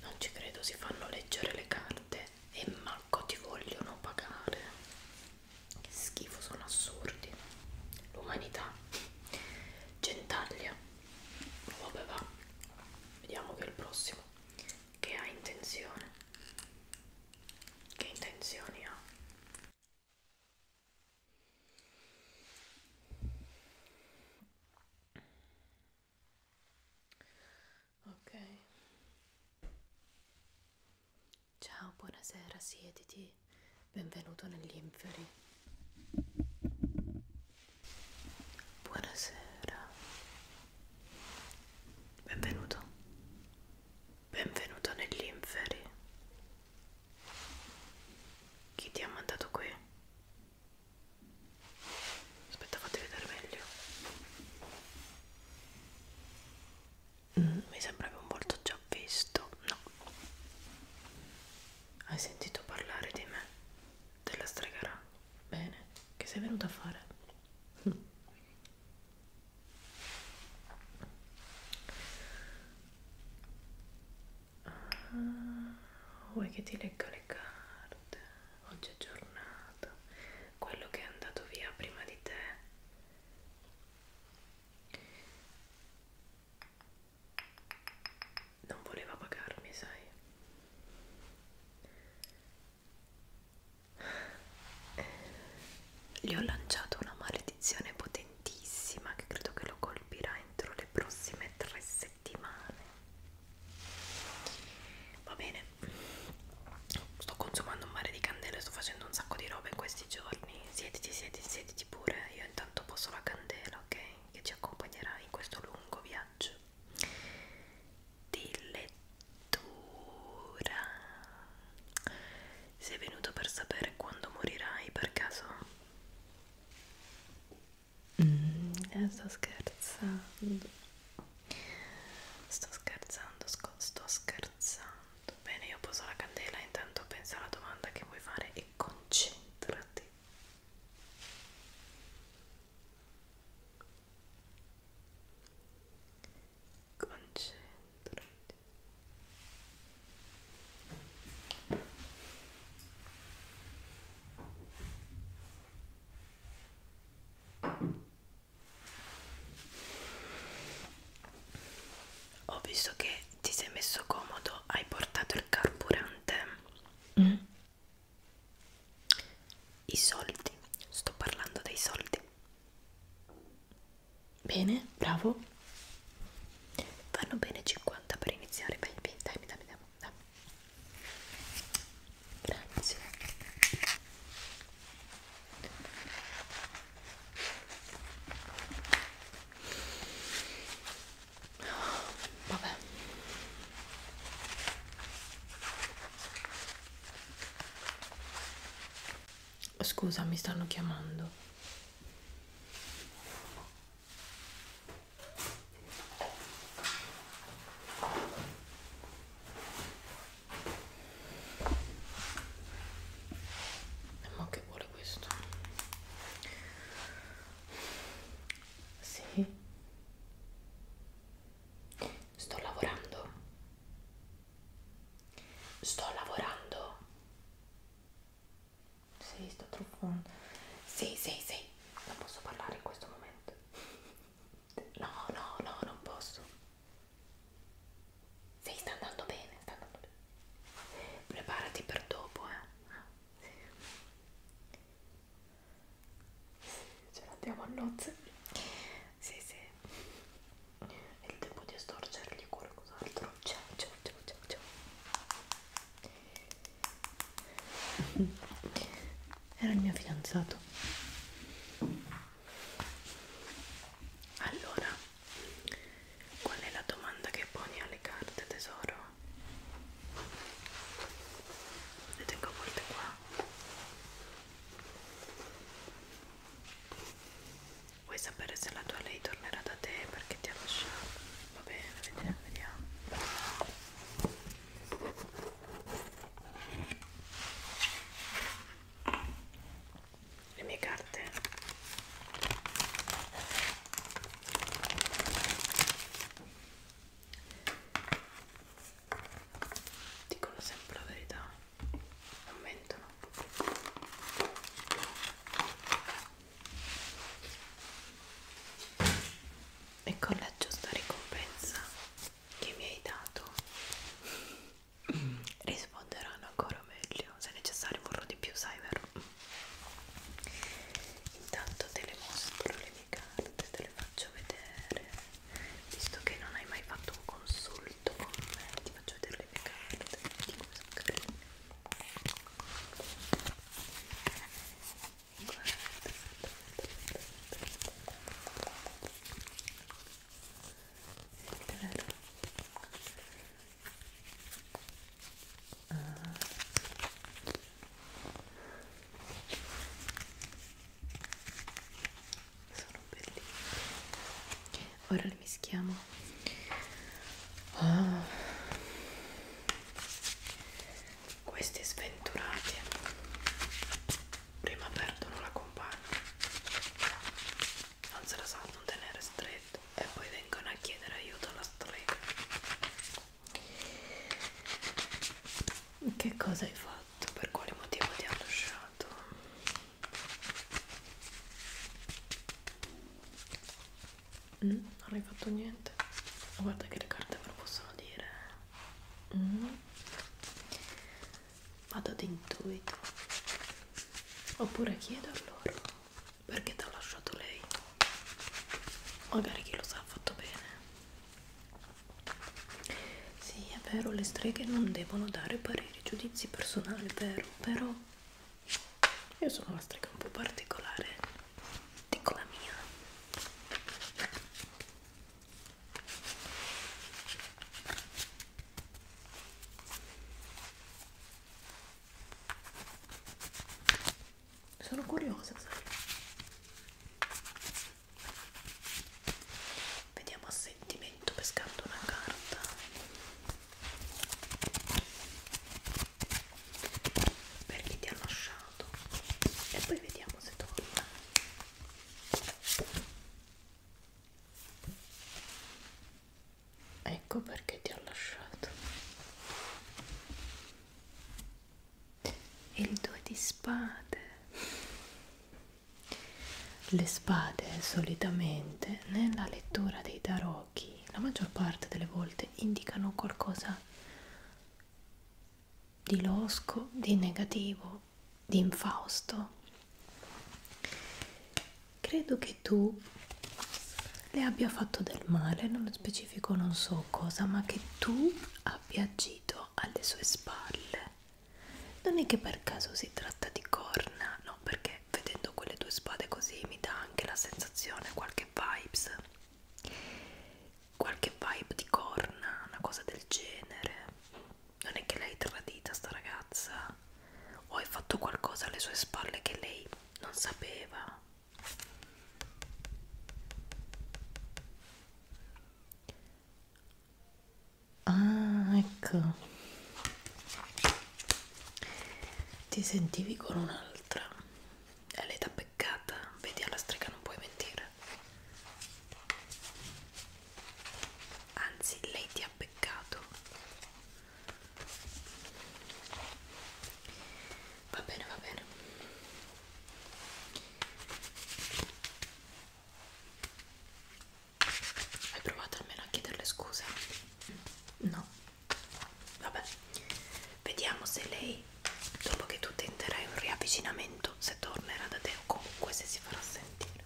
Non ci credo, si fanno leggere le carte e manco ti vogliono pagare. Che schifo, sono assurdi. L'umanità. Gentaglia. Vabbè va. Vediamo che il prossimo che ha intenzione che intenzioni ha ok ciao buonasera siediti benvenuto negli inferi Buonasera, benvenuto, benvenuto negli inferi. Chi ti ha mandato qui? Aspetta, fatti vedere meglio. Mm, mi sembrava un volto già visto, no? Hai sentito parlare di me? te la stregherà bene che sei venuta a fare ah, vuoi che ti legga le carte oggi è giornata quello che è andato via prima di te non voleva pagarmi, sai? Eh, gli ho lanciato una maledizione potentissima che credo che lo colpirà entro le prossime tre settimane. Va bene, sto consumando un mare di candele, sto facendo un sacco di roba in questi giorni. Siediti, siediti, siediti pure. Io intanto posso la candela, ok? Che ci accompagnerà in questo lungo viaggio di lettura. Sei venuto per sapere quando morirai per caso? Mm, eh, sto scherzando. Sto scherzando, sto scherzando. Bene, io poso la candela, intanto pensa alla domanda che vuoi fare e concentrati. Concentrati. Ho visto che ti sei messo comodo, hai portato il carburante. Mm. I soldi, sto parlando dei soldi. Bene, bravo. Vanno bene 50 per iniziare, baby. Dai, mi dai, mi dai, dai. Grazie. Oh, vabbè scusa mi stanno chiamando eh, ma che vuole questo sì Sto lavorando. Sto lavorando. Sì, sto truffando. Sì, sì, sì. Non posso parlare in questo momento. No, no, no, non posso. Sì, sta andando bene, sta andando bene. Preparati per dopo, eh. Ah, sì. Sì, ce l'andiamo a nozze. Sì, sì. È il tempo di storcergli qualcos'altro. Ciao, ciao, ciao, ciao, ciao. Era il mio fidanzato. Allora, qual è la domanda che poni alle carte, tesoro? Le tengo a volte qua Vuoi sapere se la tua lei tornerà da te perché ti ha lasciato? Va bene, vediamo, vediamo. Le mie carte dicono sempre la verità non mentono e collegio sta ricompensa che mi hai dato risponderanno ancora meglio se necessario vorrò di più sai vero intanto te le mostro le mie carte te le faccio vedere visto che non hai mai fatto un consulto con me, ti faccio vedere le mie carte, vedi come sono carine. Guarda, guarda, guarda. Ah sono bellissimi ora li mischiamo oh. Ah. questi sventurati prima perdono la compagna non se la sanno tenere stretto e poi vengono a chiedere aiuto alla strega che cosa hai fatto? esatto per quale motivo ti hanno lasciato mm, non hai fatto niente guarda che le carte me lo possono dire mm. vado d'intuito oppure chiedo a loro perché ti ha lasciato lei magari chi lo sa ha fatto bene sì, è vero, le streghe non devono dare pareri, giudizi personali, vero, però io sono una strega un po' particolare, dico la mia. Sono curiosa, sai? Vediamo sentimento pescando una carta. Per chi ti ha lasciato. E poi vediamo se torna. Ecco perché ti ho lasciato e il due di spade. Le spade solitamente nella lettura dei tarocchi la maggior parte delle volte indicano qualcosa di losco, di negativo, di infausto. Credo che tu le abbia fatto del male, non specifico non so cosa, ma che tu abbia agito alle sue spalle non è che per caso si tratta di corna, no, perché vedendo quelle due spade così mi dà anche la sensazione, qualche vibes, qualche vibe di corna, una cosa del genere. Non è che l'hai tradita sta ragazza, o hai fatto qualcosa alle sue spalle che lei non sapeva. Ah, ecco. Ti sentivi con un'altra. È l'età peccata. Vedi alla strega non puoi mentire. Anzi, lei ti ha peccato. Va bene, va bene. Hai provato almeno a chiederle scusa? No? Vabbè, vediamo se lei, dopo che tu tenterai un riavvicinamento, se tornerà da te o comunque se si farà sentire.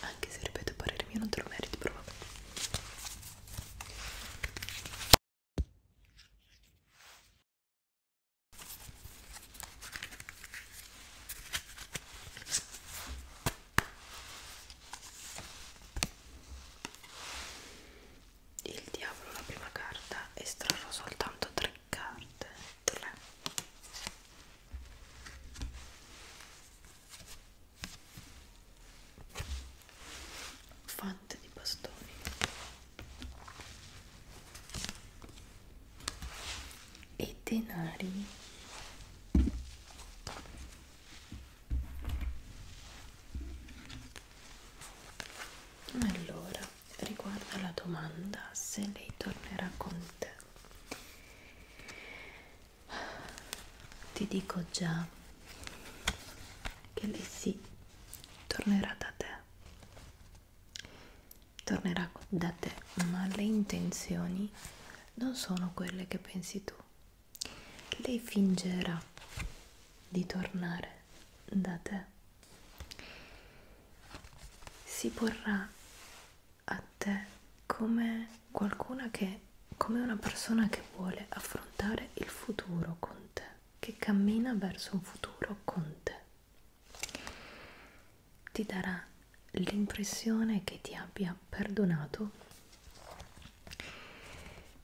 Anche se ripeto, a parere mio non te lo meriti proprio. Il diavolo, la prima carta, estrarrò soltanto tre carte, tre. Fante di bastoni e denari allora riguarda la domanda se lei tornerà con te ti dico già che lei sì tornerà da te tornerà da te, ma le intenzioni non sono quelle che pensi tu. Lei fingerà di tornare da te. Si porrà a te come qualcuna che, come una persona che vuole affrontare il futuro con te, che cammina verso un futuro con te ti darà l'impressione che ti abbia perdonato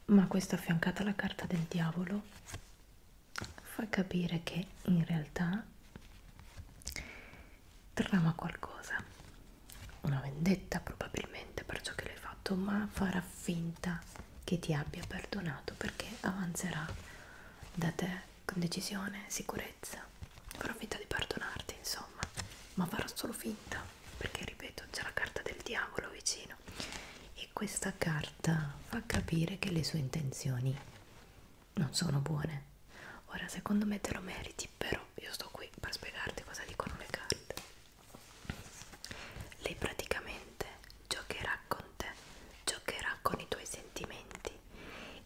ma questa affiancata alla carta del diavolo fa capire che in realtà trama qualcosa una vendetta probabilmente per ciò che l'hai fatto ma farà finta che ti abbia perdonato perché avanzerà da te con decisione, sicurezza. Farò finta di perdonarti, insomma, ma farò solo finta perché, ripeto, c'è la carta del diavolo vicino e questa carta fa capire che le sue intenzioni non sono buone. Ora, secondo me te lo meriti, però io sto qui per spiegarti cosa dicono le carte. Lei praticamente giocherà con orizzonte giocherà con i tuoi sentimenti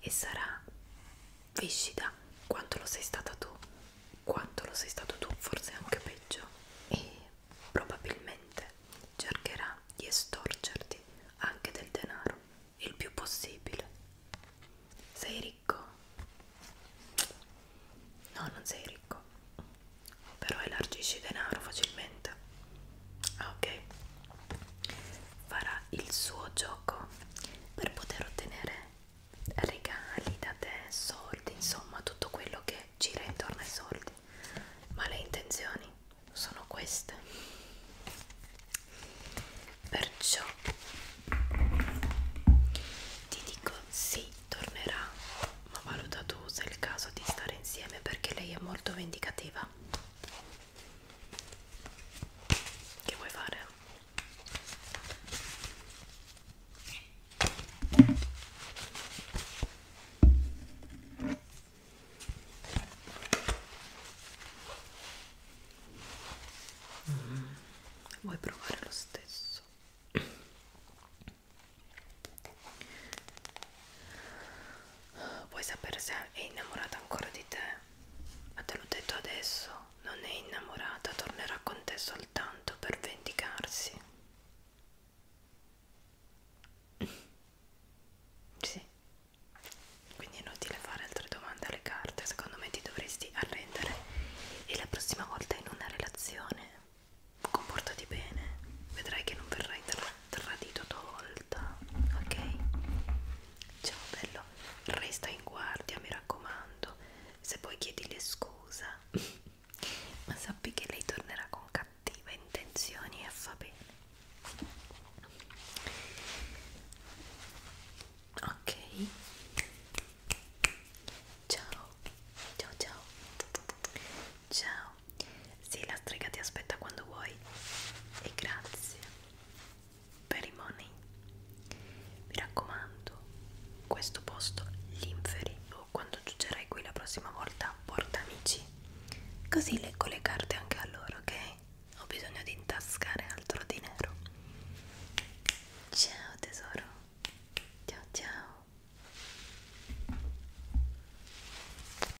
e sarà viscida quanto lo sei stata tu, quanto lo sei stato tu, forse anche peggio, e probabilmente cercherà di estorcerti anche del denaro il più possibile. Sei ricco? No, non sei ricco, però elargisci denaro facilmente. Ah, ok farà il suo gioco per poter ottenere regali da te soldi insomma tutto quello che gira intorno ai soldi ma le intenzioni sono queste perciò ti dico sì tornerà ma valuta tu se è il caso di stare insieme perché lei è molto vendicativa che vuoi fare? Mm. Vuoi provare lo stesso? vuoi sapere se è innamorata ancora di te? Ma te l'ho detto adesso, non è innamorata, tornerà con te soltanto per vendicarsi. Sì. Quindi è inutile fare altre domande alle carte, secondo me ti dovresti arrendere e la prossima volta in una relazione comportati bene, vedrai che non verrai tra tradito tua volta, ok? Ciao bello, resta in guardia, mi raccomando. Se poi chiedile scusa, ma sappi che lei tornerà con cattive intenzioni e fa bene. Ok. Ciao. Ciao ciao. Ciao. Sì, la strega ti aspetta quando vuoi. E grazie per i money. Mi raccomando, questo posto l'inferi o oh, quando giungerai qui la prossima volta porta amici. Così leggo le carte anche a loro, ok? Ho bisogno di intascare altro dinero. Ciao tesoro. Ciao ciao.